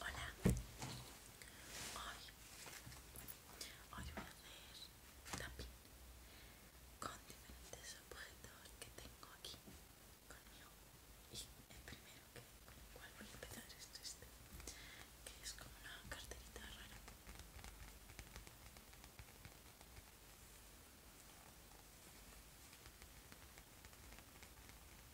Hola, hoy, hoy voy a hacer también con diferentes objetos que tengo aquí conmigo y el primero que, con el cual voy a empezar es este, que es como una carterita rara.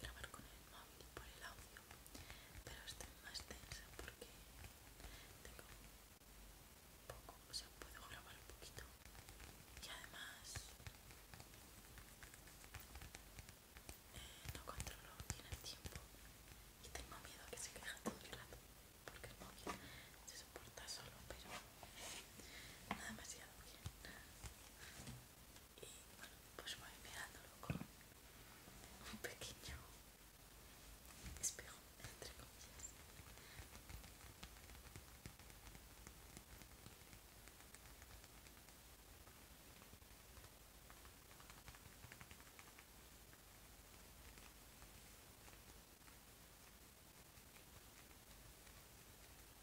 grabar con el móvil por el audio, pero estoy más tensa porque tengo poco, o sea, puedo grabar un poquito y además eh, no controlo bien el tiempo y tengo miedo a que se queja todo el rato porque el móvil se soporta solo, pero nada demasiado bien y bueno, pues voy mirándolo con un pequeño espejo, entre comillas.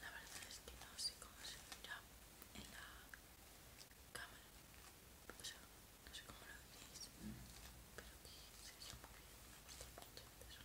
La verdad es que no sé cómo se mira en la cámara, no sé cómo lo veis, pero que se ve muy bien, me gusta mucho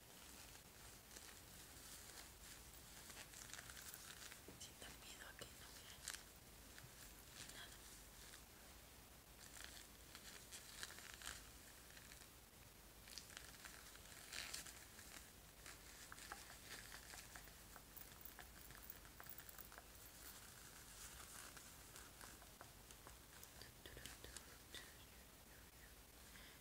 Si te pido que no veas nada.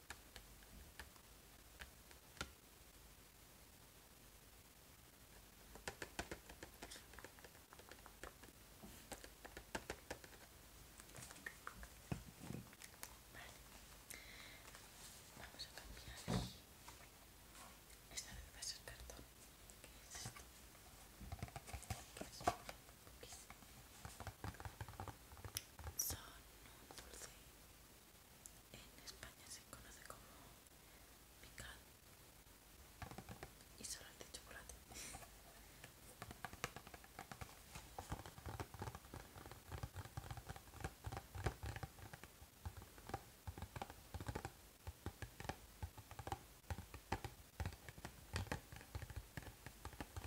Vamos a cambiar Esta vez va perdón, ¿Qué es esto? son un dulce en España se conoce como picado y son de chocolate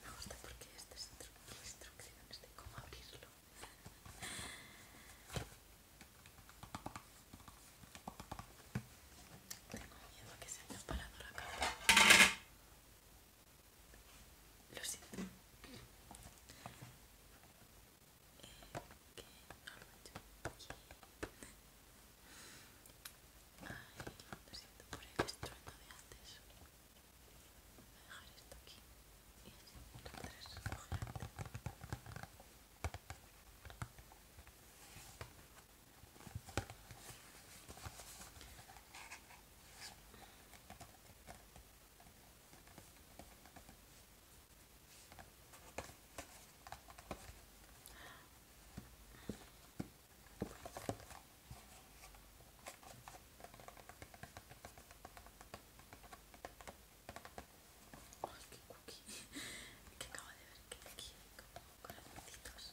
Me gusta porque este estas instrucciones de cómo abrirlo. Tengo miedo a que se haya parado la cámara. Lo siento. por el estruendo de antes. Voy a dejar esto aquí y Ay, qué cookie. ¡Qué acaba de ver que aquí hay como corazoncitos.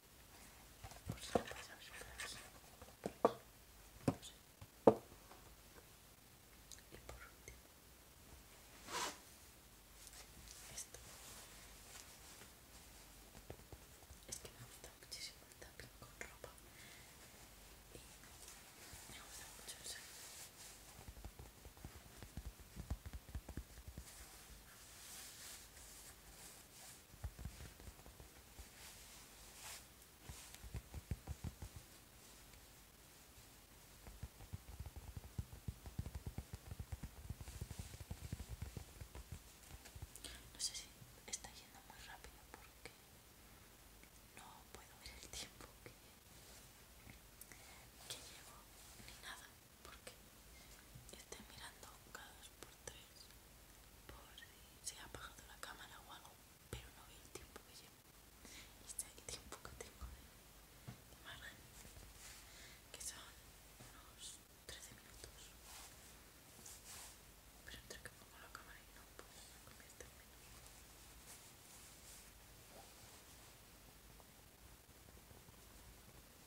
Por si no pasa sé. Y por último, esto. Es que me gusta muchísimo el tapping con ropa. Y me gusta mucho el sonido. No sé si está yendo muy rápido porque no puedo ver el tiempo que, que llevo ni nada porque estoy mirando cada dos por tres por si se ha apagado la cámara o algo, pero no veo el tiempo que llevo. Este es el tiempo que tengo de, imagen, que son unos 13 minutos. Pero entre que pongo la cámara y no, puedo se convierte en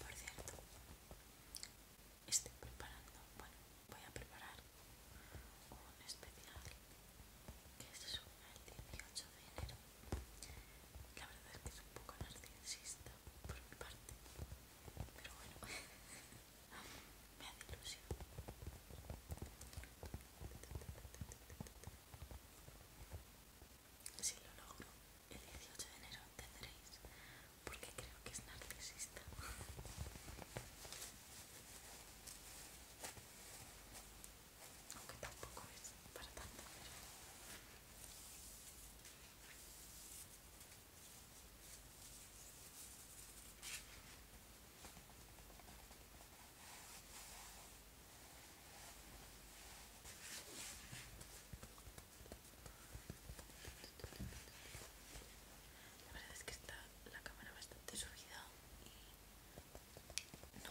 Por cierto, estoy preparando, bueno, voy a preparar un especial que se este sube el 18 de enero. La verdad es que es un poco narcisista por mi parte, pero bueno, Me ilusión. Si lo logro, el 18 de enero tendréis, porque creo que es narcisista. Aunque tampoco es para tanto, la verdad es que está la cámara bastante subida y no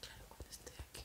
Claro, cuando esté aquí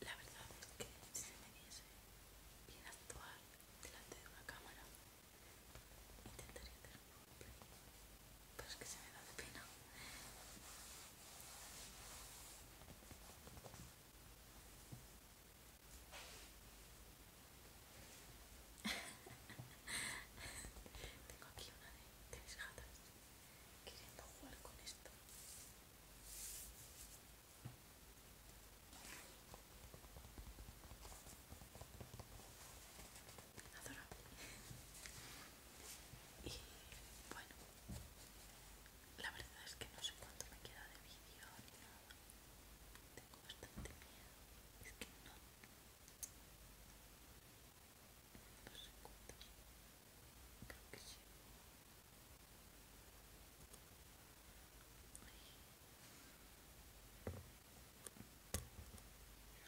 La verdad es que si se me diese bien actuar delante de una cámara, intentaría tener un pero es que se me da de pena. Tengo aquí una de tres gatas queriendo jugar con esto adorable. Y bueno, la verdad es que no sé cuánto me queda de vídeo ni nada. Tengo bastante miedo. Es que no. No sé